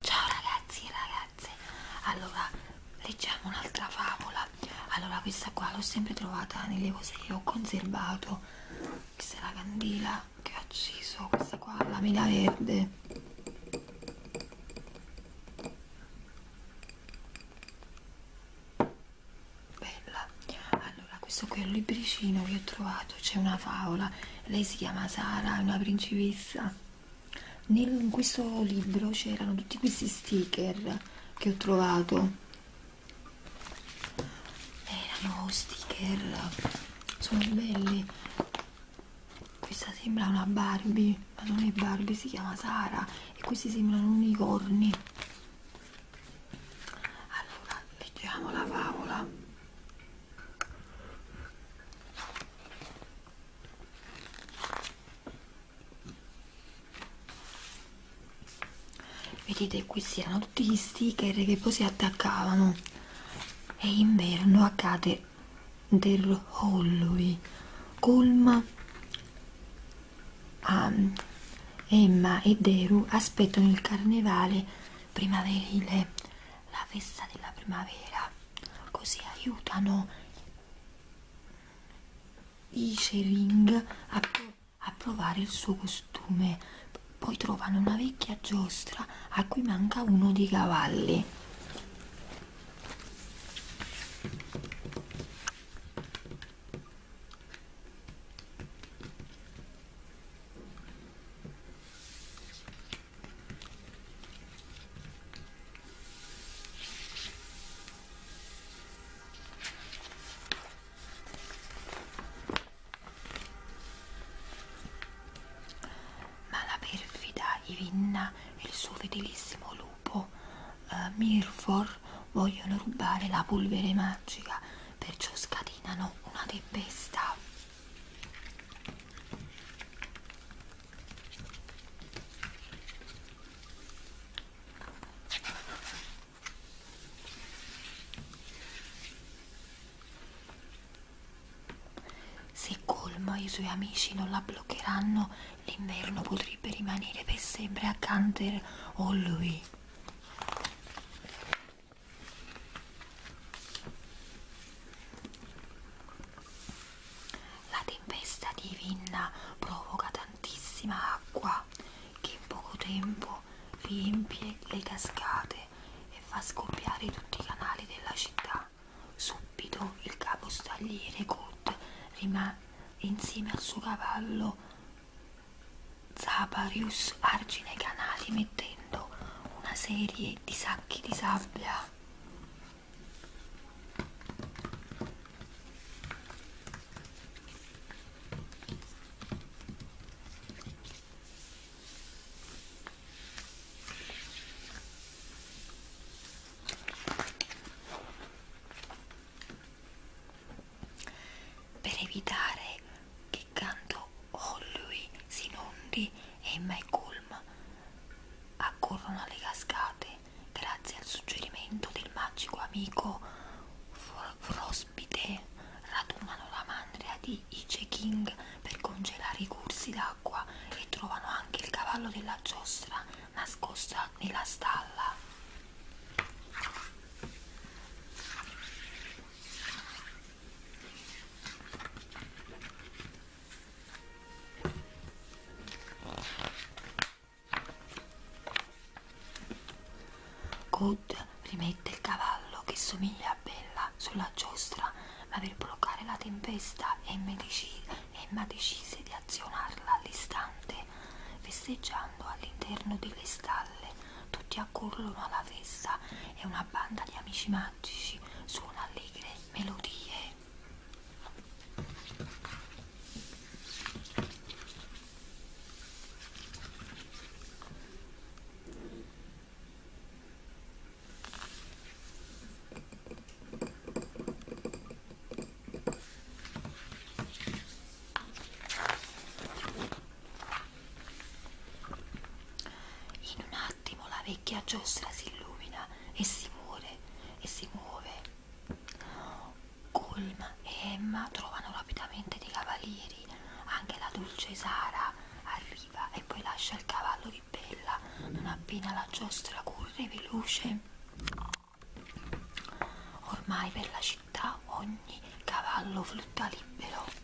Ciao ragazzi e ragazze, allora leggiamo un'altra favola. Allora, questa qua l'ho sempre trovata nelle cose che ho conservato. Questa è la candela che ho acceso, questa qua la mela verde. Bella. Allora, questo qui è un libricino che ho trovato, c'è una favola. Lei si chiama Sara, è una principessa in questo libro c'erano tutti questi sticker che ho trovato erano sticker sono belli questa sembra una Barbie ma non è Barbie si chiama Sara e questi sembrano unicorni allora leggiamo la favola vedete qui si erano tutti gli sticker che poi si attaccavano e inverno accade del Halloween Colma um, Emma e Deru aspettano il carnevale primaverile la festa della primavera così aiutano Ichering a, pro a provare il suo costume poi trovano una vecchia giostra a cui manca uno dei cavalli ma la perfida Ivinna e il suo fedelissimo lupo eh, Mirfor vogliono rubare la polvere magica, perciò scatenano una tempesta. Se Colma e i suoi amici non la bloccheranno, l'inverno potrebbe rimanere per sempre accanto a lui. La tempesta di Vinna provoca tantissima acqua che in poco tempo riempie le cascate e fa scoppiare tutti i canali della città. Subito il capostagliere Kut rimane insieme al suo cavallo Zaparius argine i canali mettendo prendo una serie di sacchi di sabbia per evitare che soltanto Holloway oh, si inundi e Malcolm accorrono alle cascate grazie al suggerimento del magico amico Fr Frospite radunano la mandria di Ice King per congelare i corsi d'acqua e trovano anche il cavallo della giostra nascosta nella stalla Good rimette il cavallo che somiglia a Bella sulla giostra, ma per bloccare la tempesta Emma decide, Emma decise di azionarla all'istante, festeggiando all'interno delle stalle, tutti accorrono alla festa e una banda di amici magici suona allegre melodie. In un attimo la vecchia giostra si illumina e si muore e si muove. Colm e Emma trovano rapidamente dei cavalieri, anche la dolce Sara arriva e poi lascia il cavallo di Bella non appena la giostra corre veloce. Ormai per la città ogni cavallo flutta libero.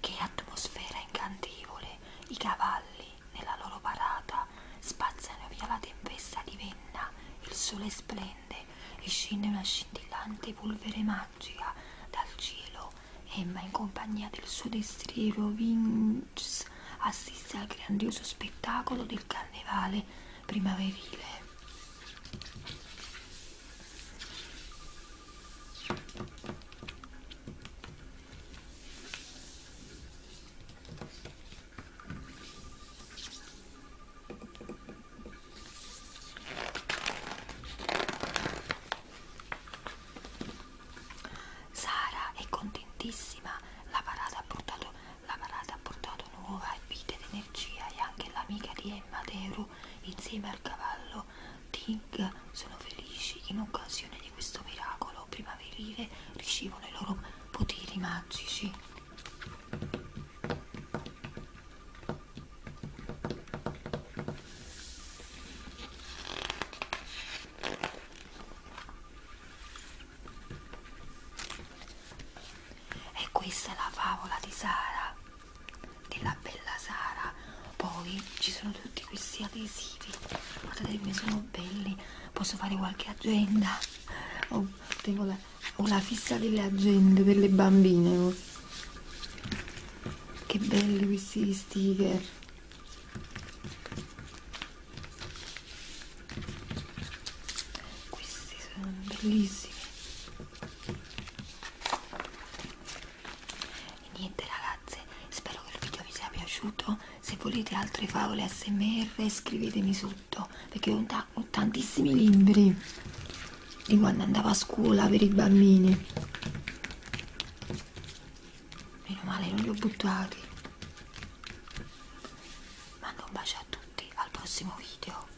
Che atmosfera incantevole! I cavalli, nella loro parata, spazzano via la tempesta di venna, il sole splende e scende una scintillante polvere magica dal cielo. Emma, in compagnia del suo destriero Vince, assiste al grandioso spettacolo del carnevale primaverile. Sara è contentissima, la parata ha portato, la parata ha portato nuova e vita ed energia e anche l'amica di Emma Teru insieme al cavallo Tig sono felici in occasione di questo miracolo primaverile ricevono i loro poteri magici. E questa è la favola di Sara della Bella Sara poi ci sono tutti questi adesivi guardate che sono belli posso fare qualche agenda oh, tengo la, ho la fissa delle agende per le bambine oh. che belli questi sticker questi sono bellissimi e niente ragazze spero che il video vi sia piaciuto se volete altre favole smr scrivetemi sotto perché ho, ho tantissimi libri di quando andavo a scuola per i bambini meno male non li ho buttati mando un bacio a tutti al prossimo video